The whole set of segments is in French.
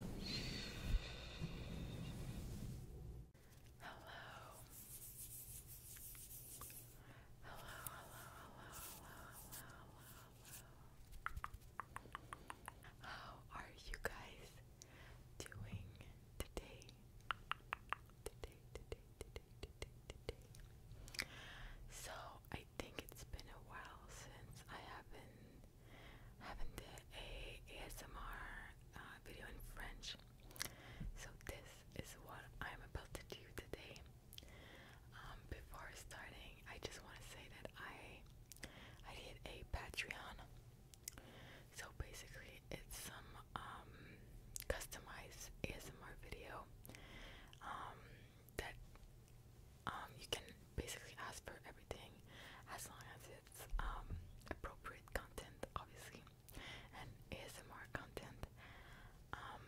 Hello. Hello, hello, hello, hello, hello, How are you guys doing today? Today, today, today, today, today. So, I think it's been a while since I haven't have did a ASMR uh, video in French. So this is what I'm about to do today. Um, before starting, I just want to say that I I did a Patreon. So basically, it's some um, customized ASMR video um, that um, you can basically ask for everything as long as it's um, appropriate content, obviously, and ASMR content. Um,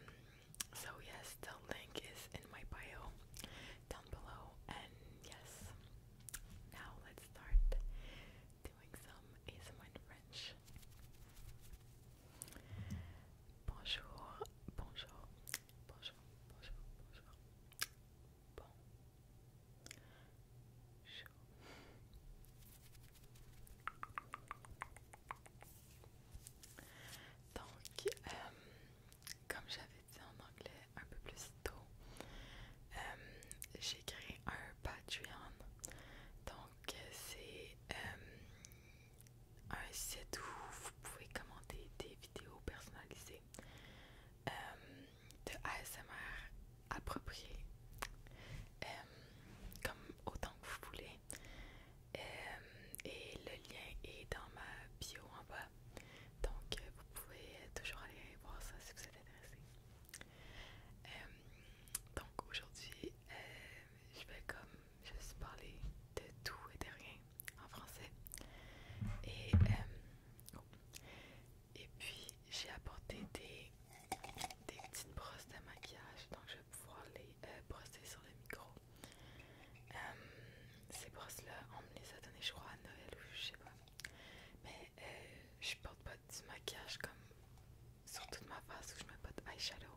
so, yes, the link is in my bio down below, and yes, now let's start doing some ASMR French. Bonjour, bonjour, bonjour, bonjour, bonjour. Bon. Donc, euh, comme j'avais dit en anglais un peu plus tôt, euh, j'ai créé un Patreon. Donc, euh, c'est un site où vous pouvez commenter des vidéos personnalisées euh, de ASMR approprié, euh, comme autant que vous voulez. Euh, et le lien est dans ma bio en bas. Donc vous pouvez toujours aller voir ça si vous êtes intéressé. donc aujourd'hui, je vais comme juste parler de tout et de rien en français. Et, euh, oh. Et puis j'ai apporté des, petites brosses de maquillage, donc je vais pouvoir les euh, brosser sur le micro. Euh, ces brosses-là, on me les a données, je crois, à Noël ou je sais pas. Mais je porte pas du maquillage comme sur toute ma face où je mets pas de eyeshadow.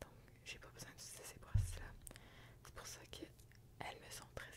Donc j'ai pas besoin de ces brosses-là. C'est pour ça qu'elles me sont très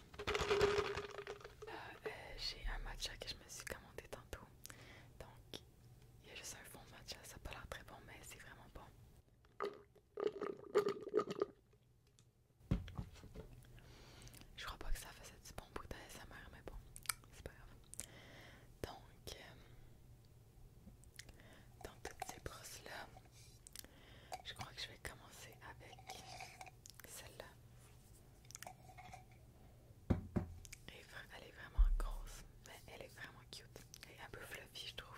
Euh, j'ai un matcha que je me suis commandé tantôt. Donc, il y a juste un fond matcha. Ça peut pas l'air très bon, mais c'est vraiment bon. Je crois pas que ça faisait du bon bout sa mais bon, c'est pas grave. Donc, euh, dans toutes ces brosses-là, je crois que je vais commencer avec celle-là. Elle est vraiment grosse, mais elle est vraiment cute. Elle est un peu fluffy, je trouve.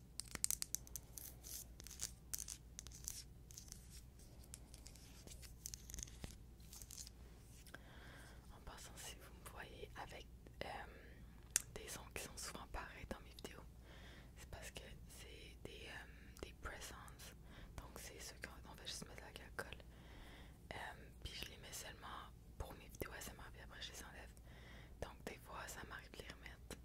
En passant, si vous me voyez avec euh, des sons qui sont souvent pareils dans mes vidéos, c'est parce que c'est des, euh, des presents. Donc, c'est ceux qu'on va juste mettre avec l'alcool. Euh, puis je les mets seulement pour mes vidéos SMR, puis après je les enlève. Donc, des fois, ça m'arrive de les remettre.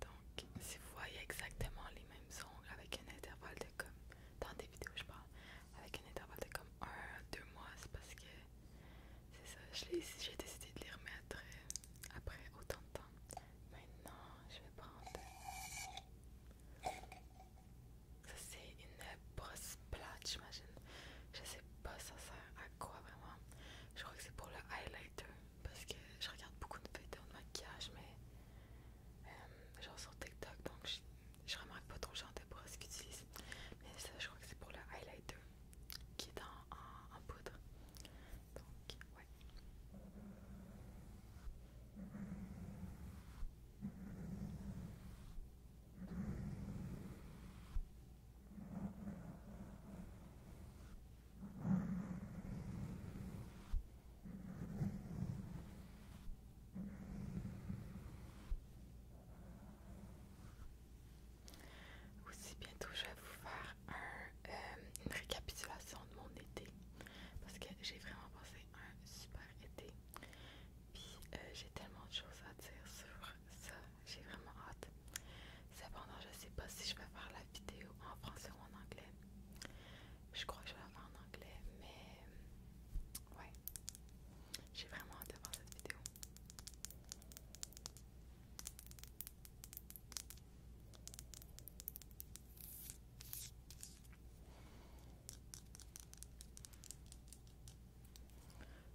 Donc, si vous voyez exactement les mêmes ongles avec un intervalle de comme, dans des vidéos je parle, avec un intervalle de comme 1 2 mois, c'est parce que c'est ça, j'ai décidé de les remettre après autant de temps. Maintenant, je vais prendre. Ça, c'est une brosse plate, j'imagine. Je sais pas, ça sert à quoi vraiment. Je crois que c'est pour le highlighter parce que je regarde beaucoup de vidéos de maquillage, mais euh, genre sur TikTok, donc je, remarque pas trop genre pour ce qu'ils utilisent. Mais ça, je crois que c'est pour le highlighter qui est dans en poudre. Donc, ouais. Aussi bientôt je vais vous faire euh, une récapitulation de mon été parce que j'ai vraiment passé un super été. Puis euh, j'ai tellement de choses à dire sur ça j'ai vraiment hâte. Cependant, je sais pas si je vais faire la vidéo en français ou en anglais. Je crois que je vais la faire en anglais, mais ouais. J'ai vraiment hâte de voir cette vidéo.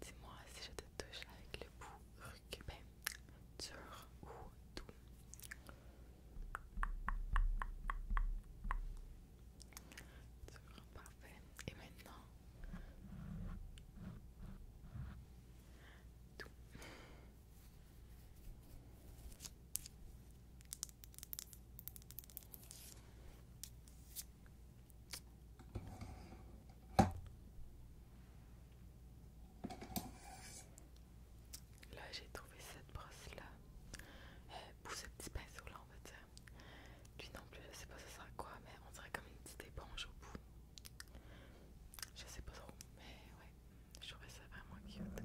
Dis-moi si je te touche avec le bout recubé, dur ou doux. Dur, parfait. Et maintenant, doux. Là, j'ai trouvé cette brosse là. Euh, pour ce petit pinceau là, on va dire. Lui non plus, je sais pas ce sera quoi, mais on dirait comme une petite éponge au bout. Je sais pas trop, mais ouais, je trouvais ça vraiment cute.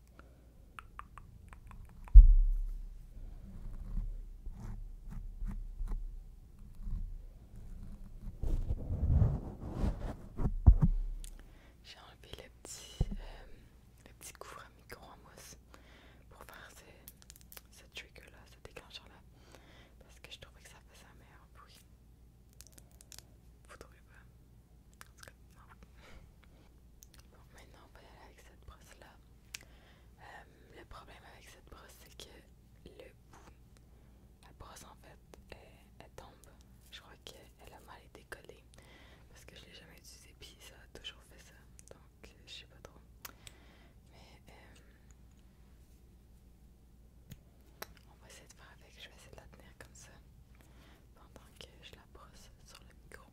J'ai enlevé les petits le euh, à micro mousse pour faire ce, ce là, ce déclencheur là, parce que je trouvais que ça faisait un meilleur bruit. Vous trouvez pas? Bon, maintenant on va y aller avec cette brosse là. Euh, le problème avec cette brosse, c'est que le bout, la brosse en fait, elle, tombe. Je crois qu'elle a mal été collée parce que je l'ai jamais utilisée, puis ça a toujours fait ça. Donc, euh, je sais pas trop. Mais, euh, on va essayer de faire avec. Je vais essayer de la tenir comme ça pendant que je la brosse sur le micro.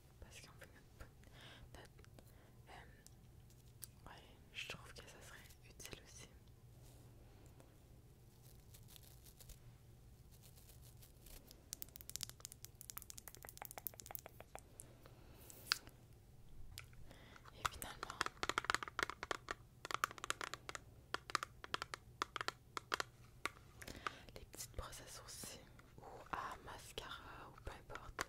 parce qu'en fait notre... Euh, je trouve que ça serait utile aussi. Et finalement... Les petites brosses à sourcils ou à mascara ou peu importe.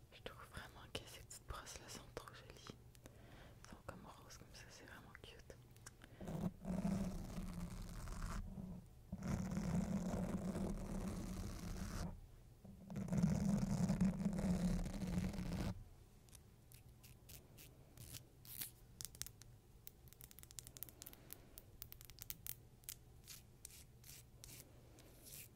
Je trouve vraiment que ces petites brosses là sont trop jolies. Elles sont comme roses comme ça, c'est vraiment cute.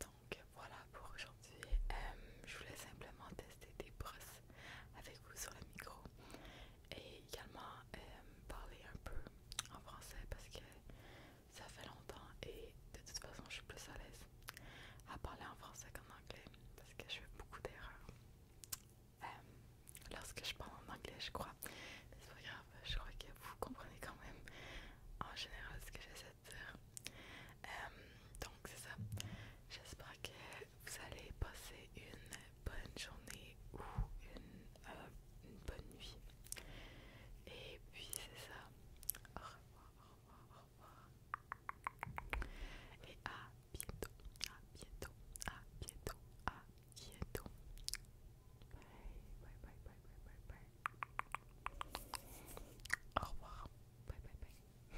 Donc voilà pour aujourd'hui. Euh, je voulais simplement des brosses avec vous sur le micro et également euh, parler un peu en français parce que ça fait longtemps et de toute façon je suis plus à l'aise à parler en français qu'en anglais parce que je fais beaucoup d'erreurs euh, lorsque je parle en anglais je crois mais c'est pas grave je crois que vous comprenez quand même en général ce que j'essaie de dire euh, donc c'est ça. J'espère que vous allez passer une bonne journée ou euh, une, bonne nuit. Et puis c'est ça. Au revoir, au revoir, au revoir. Et à bientôt, à bientôt, à bientôt, à bientôt. bye, bye, bye, bye, bye, bye. Au revoir. Bye, bye, bye.